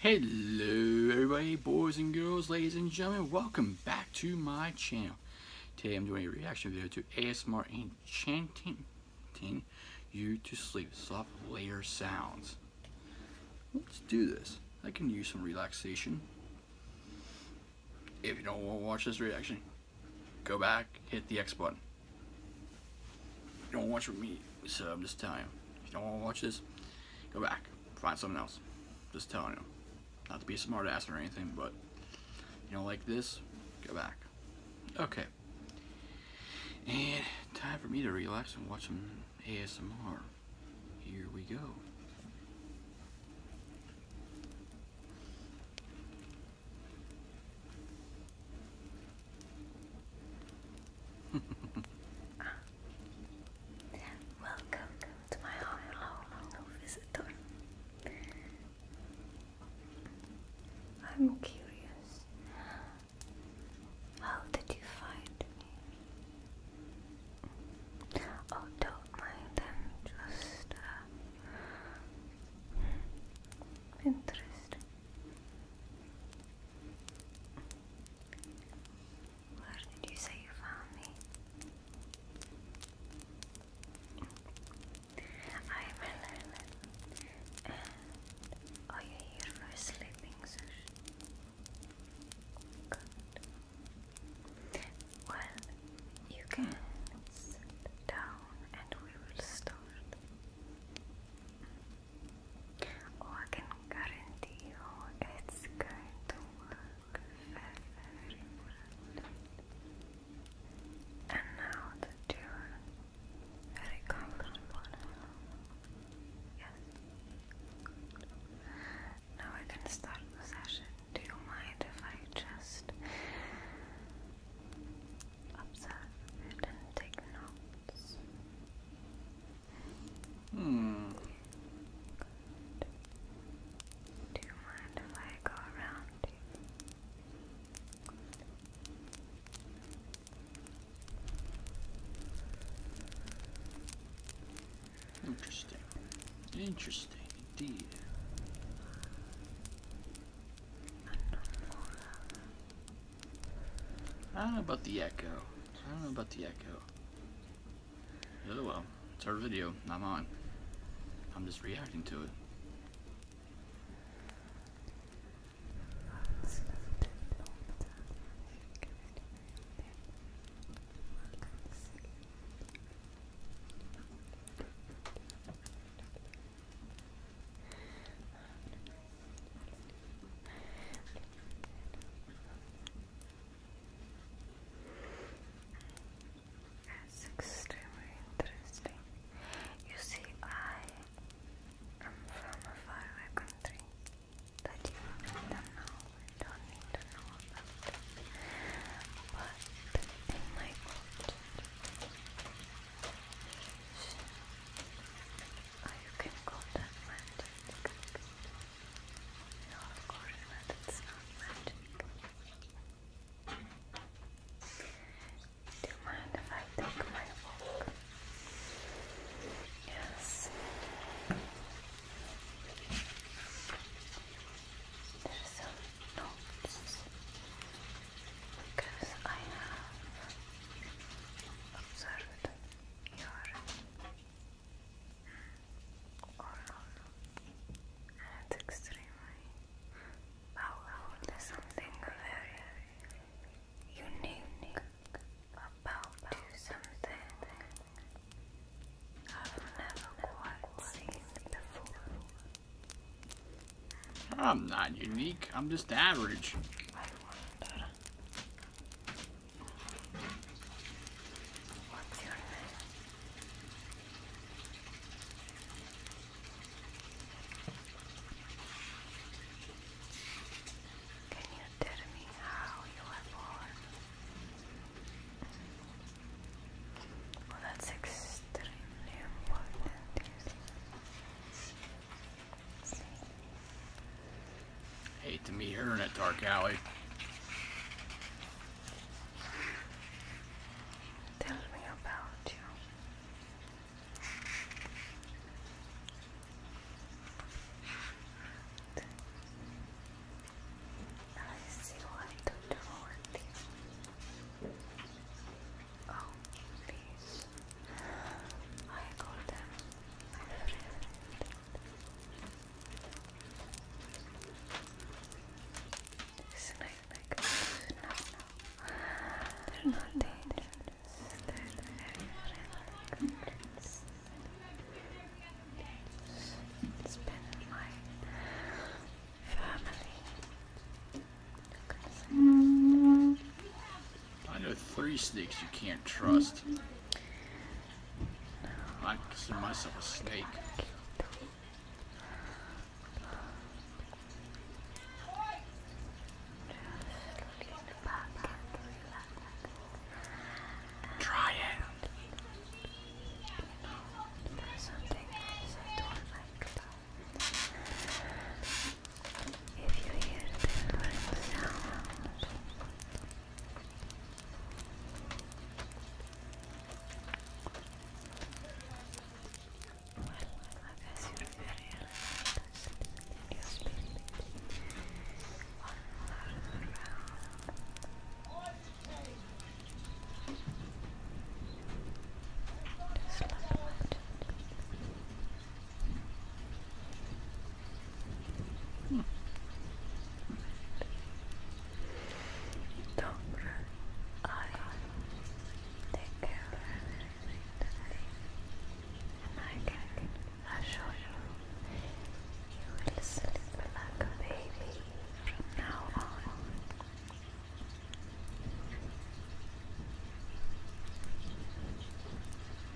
Hello everybody, boys and girls, ladies and gentlemen, welcome back to my channel. Today I'm doing a reaction video to ASMR Enchanting You to Sleep, Soft Layer Sounds. Let's do this. I can use some relaxation. If you don't want to watch this reaction, go back, hit the X button don't watch with me, so I'm just telling you. If you don't want to watch this, go back. Find something else. Just telling you. Not to be a smart ass or anything, but you don't like this, go back. Okay. And time for me to relax and watch some ASMR. Here we go. Welcome to my home, visitor. I'm curious. How did you find me? Oh, don't mind. i just uh, where did you say you found me? I'm Elena. And are you here for sleeping Good. Well, you can sit down and we will start. Oh, I can guarantee you it's going to work And now that you're very comfortable yes. Now I can start the session. Do you mind if I just observe and take notes? Hmm. Do you mind if I go around Interesting. Interesting indeed. I don't know about the echo. I don't know about the echo. Oh well, it's our video, I'm on. I'm just reacting to it. That's extremely interesting. You see, I am from a faraway country that you don't know and don't need to know about. But in my culture, Oh, you can call that magic. of course not. It's not magic. Do you mind if I take my walk? Yes. There's some notes because I have observed your oral and extremely powerful. There's something very unique about you, something I've never quite seen before. I'm not unique, I'm just average. What's your name? Can you tell me how you were born? Well, that's extremely important, you Hate to meet her in a dark alley. Tell me about you. I see what to do with you. Oh, please. I call them my favorite. They're not dangerous. They're very friendly. It's, it's been my family. You I know three snakes you can't trust. I consider myself a snake. Try it. If you hear different sounds, well, I guess you're very relaxed and you're sleeping. One more round. Just like magic. Dobra, I take care of everything and I can assure you, you will sleep like a baby from now on.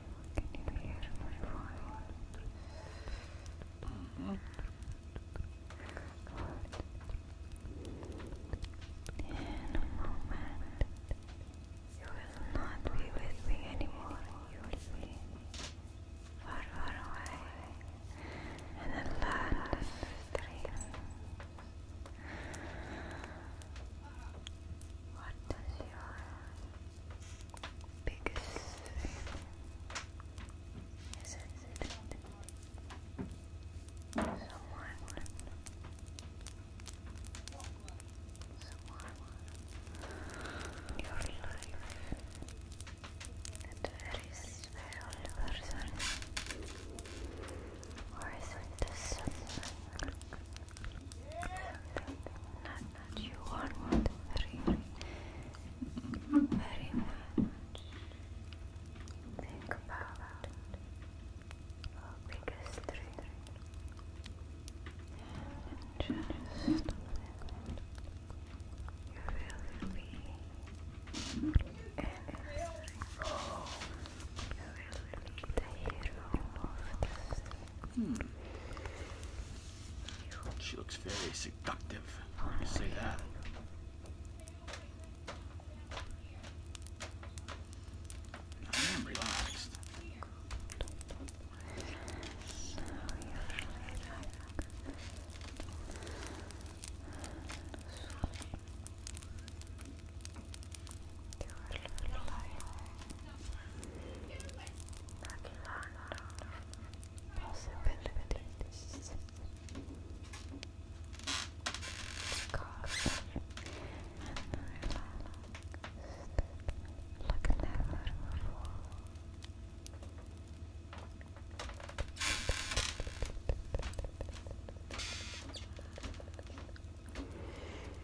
Can you In a moment, you will not be with me anymore. You will be far, far away in the land of dreams. What is your biggest thing is that someone, someone your life, that very special person, or is it someone? Not, not you want very, very much. Think about our biggest dream and you will be in history. You will be the hero of the Hmm. She looks very seductive. say that. I am relaxed possibilities because and relaxed like never before Relax, relax, relax, relax, relax, relax, relax, relax, relax,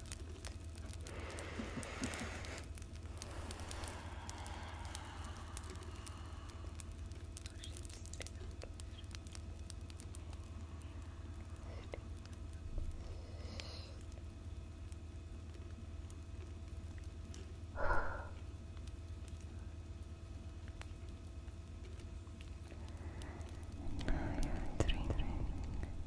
Now you're dreaming.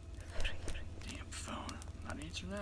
Damn phone. Not answering that.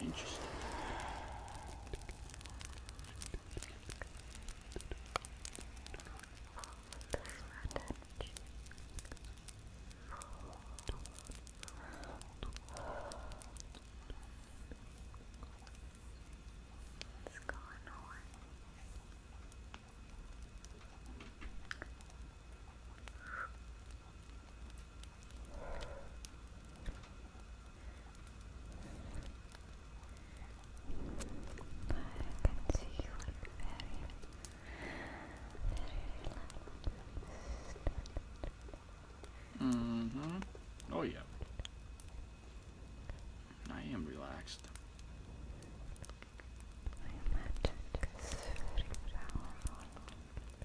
Interesting. What's going on? can see you are very, very relaxed. Mm hmm. Oh, yeah. I am relaxed. My magic is very powerful. Relax.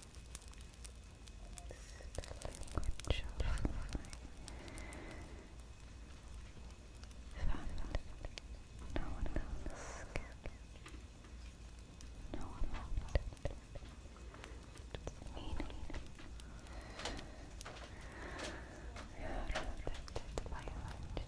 bunch No one else No one loved meaning. You're protected by logic.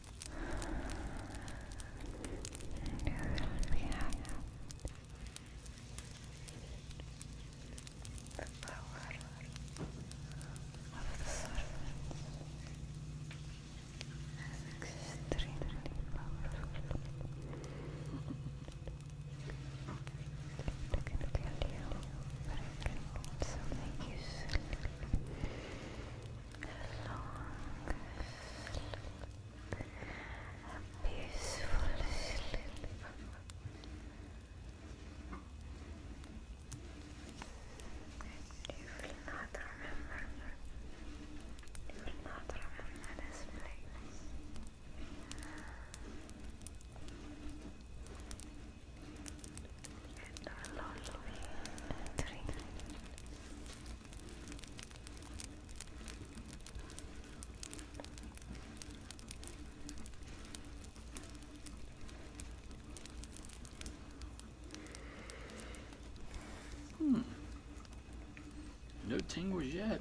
the power of the serpent is extremely powerful. It can kill you, but it can also make a peaceful sleep. You will not remember. You will not remember this place. It will only dream. Hmm. No tingles yet.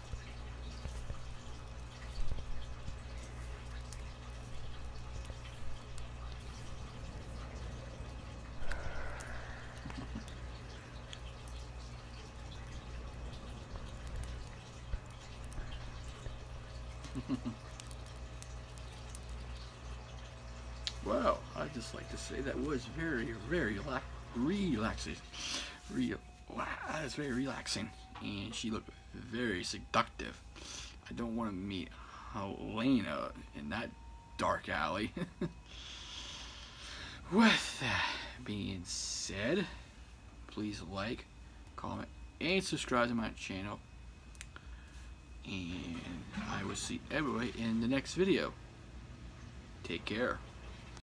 Well, I just like to say that was very, very relax, relaxing. Real. Wow, that is very relaxing. And she looked very seductive. I don't want to meet Helena in that dark alley. With that being said, please like, comment, and subscribe to my channel. And I will see everybody in the next video. Take care.